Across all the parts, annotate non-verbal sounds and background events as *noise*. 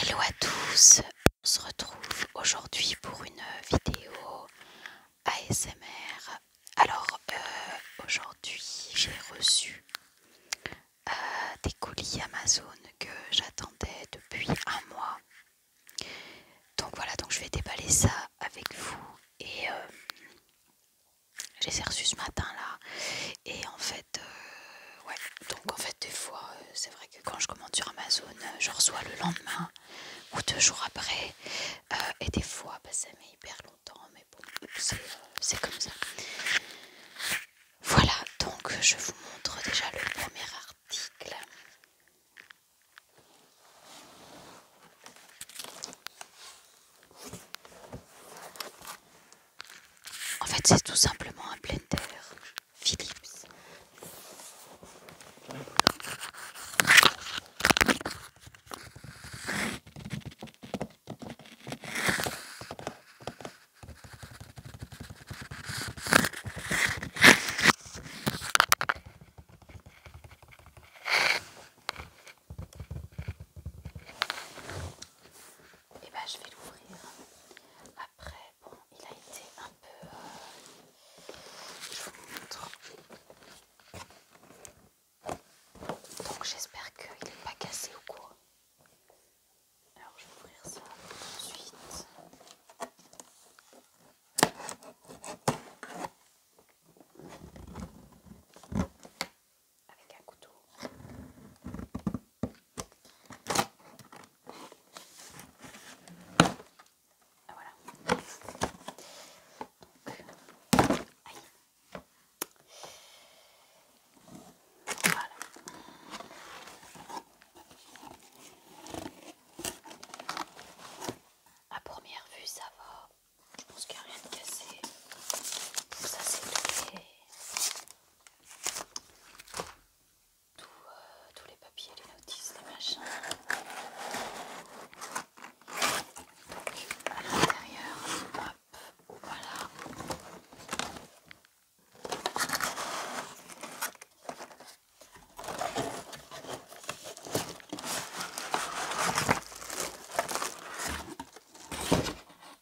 Hello à tous, on se retrouve aujourd'hui pour une vidéo ASMR. Alors euh, aujourd'hui j'ai reçu euh, des colis Amazon que j'attendais depuis un mois. Donc voilà, donc je vais déballer ça avec vous et euh, j'ai reçu ce matin là. Et en fait, euh, donc en fait, des fois, euh, c'est vrai que quand je commande sur Amazon, euh, je reçois le lendemain ou deux jours après. et des fois, bah, ça met hyper longtemps, mais bon, c'est comme ça. Voilà, donc je vous montre déjà le premier article. En fait, c'est tout simplement un blender Philips. Et eh bah ben, je vais l'ouvrir. Après, bon, il a été un peu... Euh, je vous montre. Donc j'espère qu'il n'est pas cassé au quoi. Alors je vais ouvrir ça tout de suite avec un couteau. Ah, voilà. aïe. Voilà. À première vue, ça va. Je pense qu'il n'y a rien de cassé. Ça, c'est euh, tous les papiers, les notices, les machins. à l'intérieur, hop, voilà.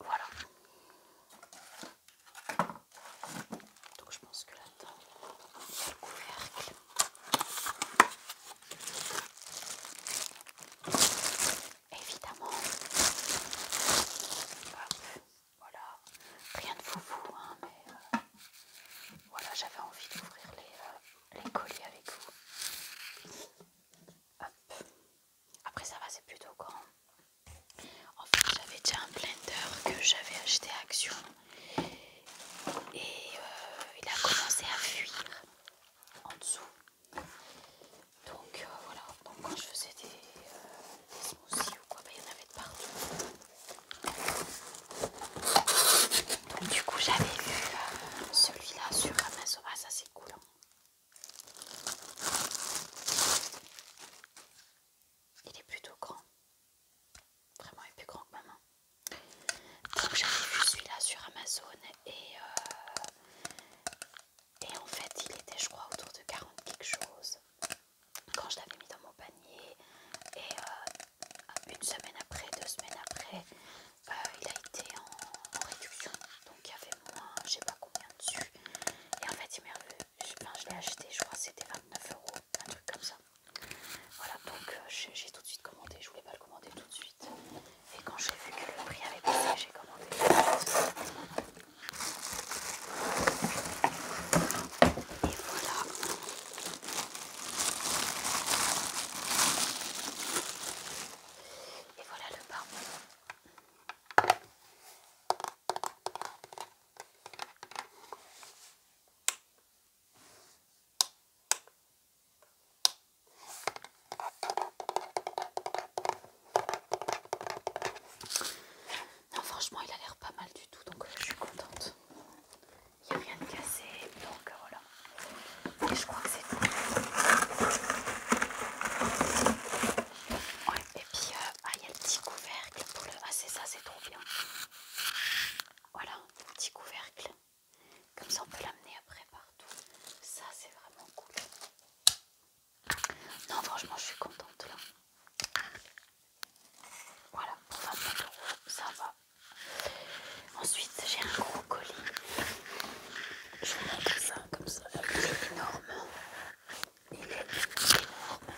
Voilà. Donc je pense que la table est le couvercle. Évidemment. voilà. Rien de foufou, hein, mais euh, voilà, j'avais envie d'ouvrir les, euh, colis les avec vous. Hop. Après ça va, c'est plutôt grand. En fait, j'avais déjà un blender que j'avais acheté à Action et euh, il a commencé à fuir en dessous. Donc euh, voilà, quand je faisais des, euh, smoothies ou quoi, bah, il y en avait de partout. Donc du coup j'avais vu celui-là sur Amazon. Ah ça c'est cool. Hein. Il est plutôt grand. Vraiment, il est plus grand que ma main. Donc j'avais vu celui-là sur Amazon euh, et, en fait il était je crois autour de 40 quelque chose quand je l'avais mis dans mon panier et euh, une semaine après, deux semaines après, euh, il a été en, réduction donc il y avait moins, je sais pas combien dessus et en fait il m'est revenu, je l'ai acheté je crois c'était 29 euros, un truc comme ça voilà, donc euh, j'ai tout de suite commandé, je voulais pas le commander tout de suite. Et quand j'ai vu que le prix avait baissé, j'ai commandé. Et voilà. Et voilà le pain. Non, franchement, il a l'air pas mal du tout, donc euh, je suis contente. Il n'y a rien de cassé, donc euh, voilà. Et je crois que c'est tout. Ouais, et puis, euh, ah, il y a le petit couvercle pour le. Ah, c'est ça, c'est trop bien. Voilà, petit couvercle. Comme ça, on peut l'amener après partout. Ça, c'est vraiment cool. Non, franchement, je suis contente là. Voilà, va ça va. Ensuite, j'ai un gros colis. Je vais mettre ça comme ça. Il est énorme. Il est énorme.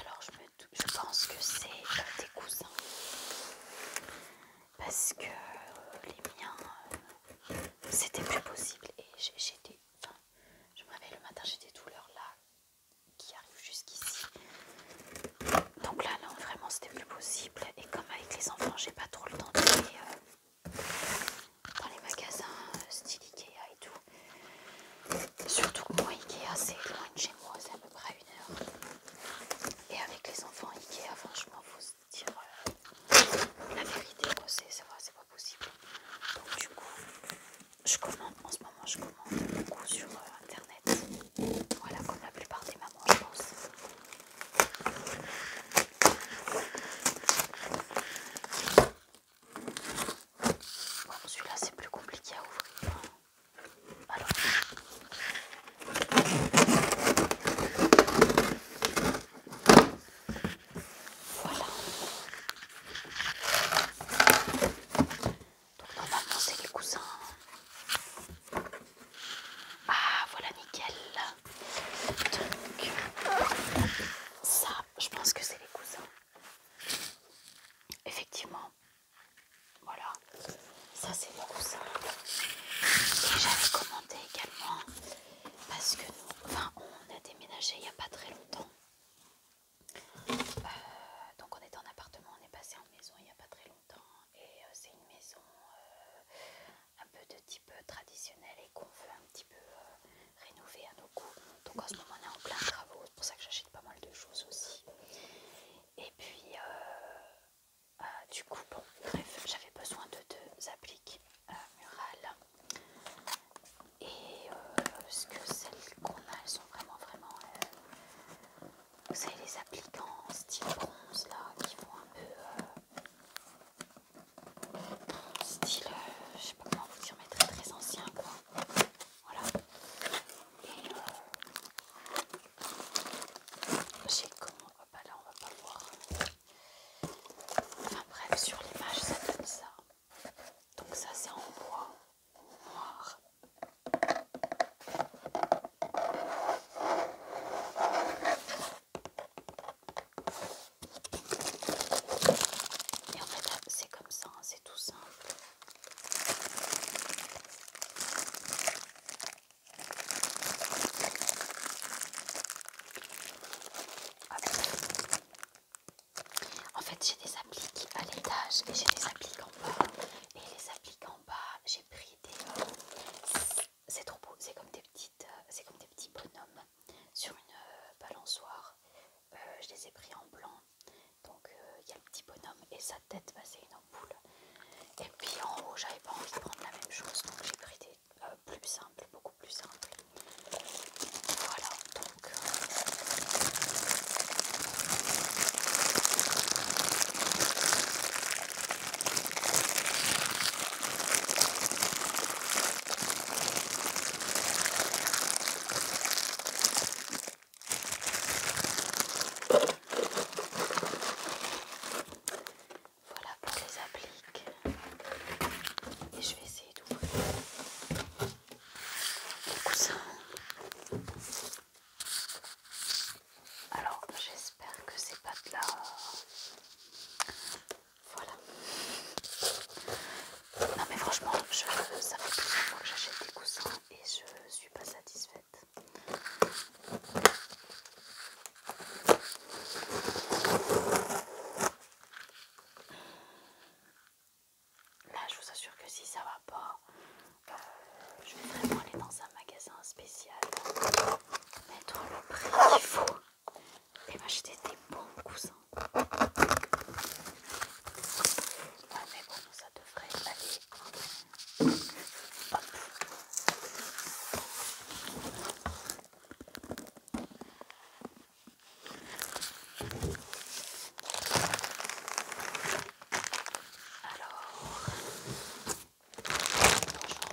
Alors, je me je pense que c'est des cousins. Parce que euh, les miens, euh, c'était plus possible. Et j'étais, Enfin, je me réveille le matin, j'ai des douleurs là qui arrivent jusqu'ici. Donc là, non, vraiment, c'était plus possible. Et comme avec les enfants, j'ai pas trop le temps d'aller euh, dans les magasins style Ikea et tout. Surtout que moi, Ikea, c'est loin de chez moi, c'est à peu près une heure. Et avec les enfants Ikea, franchement, faut se dire euh, la vérité, c'est c'est pas possible. Donc du coup, je commande, en ce moment, je commande beaucoup sur euh, internet. Voilà, comme la plupart des mamans, je pense. Bon, celui-là, c'est plus compliqué à ouvrir. Hein. Voilà. Donc normalement c'est les cousins. Ah voilà nickel. Donc ça, je pense que c'est les cousins. Effectivement, voilà, ça c'est beaucoup simple. Et j'avais commandé également parce que nous, enfin, on a déménagé il n'y a pas très longtemps. Euh, donc on était en appartement, on est passé en maison il n'y a pas très longtemps. Et euh, c'est une maison euh, un peu de type traditionnel et qu'on veut un petit peu rénover à nos goûts. Donc en ce moment on est en plein travaux, c'est pour ça que j'achète pas mal de choses aussi. Et puis euh, euh, du coup, bon, bref, j'avais besoin de deux appliques euh, murales. Et euh, que celles qu'on a, elles sont vraiment, vraiment... vous savez, les appliques en style bronze, là, qui vont un peu... style, je sais pas comment vous dire, mais très, très ancien, quoi. Voilà je sais j'ai comment va pas là on va pas voir. Après bref, sur l'image ça donne ça. Donc ça c'est en bois noir. Et en fait c'est comme ça, hein, c'est tout simple. En fait, j'ai des appliques à l'étage et j'ai des appliques en bas. Et les appliques en bas, j'ai pris des. Euh, c'est trop beau, c'est comme, des petites, euh, comme des petits bonhommes sur une euh, balançoire. je les ai pris en blanc. Donc il y a le petit bonhomme et ça peut tête passer une ampoule. Et puis en haut, j'avais pas envie de prendre la même chose, donc j'ai pris des euh, plus simples, beaucoup plus simples. Voilà, donc. Euh, voilà pour les appliques. Et je vais essayer d'ouvrir les coussins. Alors j'espère que c'est pas de la... Voilà. Non mais franchement, ça fait plusieurs fois que j'achète des coussins et je ne suis pas satisfaite. Là, je vous assure que si ça va pas, euh, je vais vraiment aller dans un magasin spécial, mettre le prix qu'il faut et m'acheter des bons coussins. Ah, devrait aller. Hop. Alors, on essaie de pas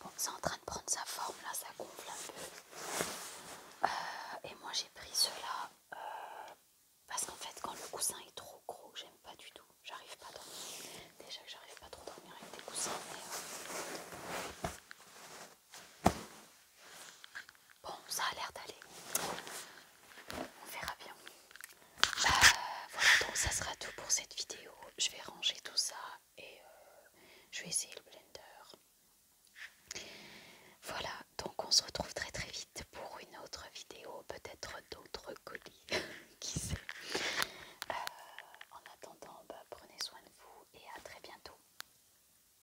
Bon, c'est en train de prendre sa forme là, ça gonfle un peu. Euh, et moi j'ai pris cela euh, parce qu'en fait, quand le coussin est trop gros, j'aime pas du tout. J'arrive pas à dormir. Déjà que j'arrive pas trop à dormir avec des coussins, mais. Euh, Bon, ça a l'air d'aller. On verra bien. Bah, voilà, donc ça sera tout pour cette vidéo. Je vais ranger tout ça et euh, je vais essayer le blender. Voilà, donc on se retrouve très très vite pour une autre vidéo, peut-être d'autres colis, *laughs* qui sait. Euh, en attendant, bah, prenez soin de vous et à très bientôt.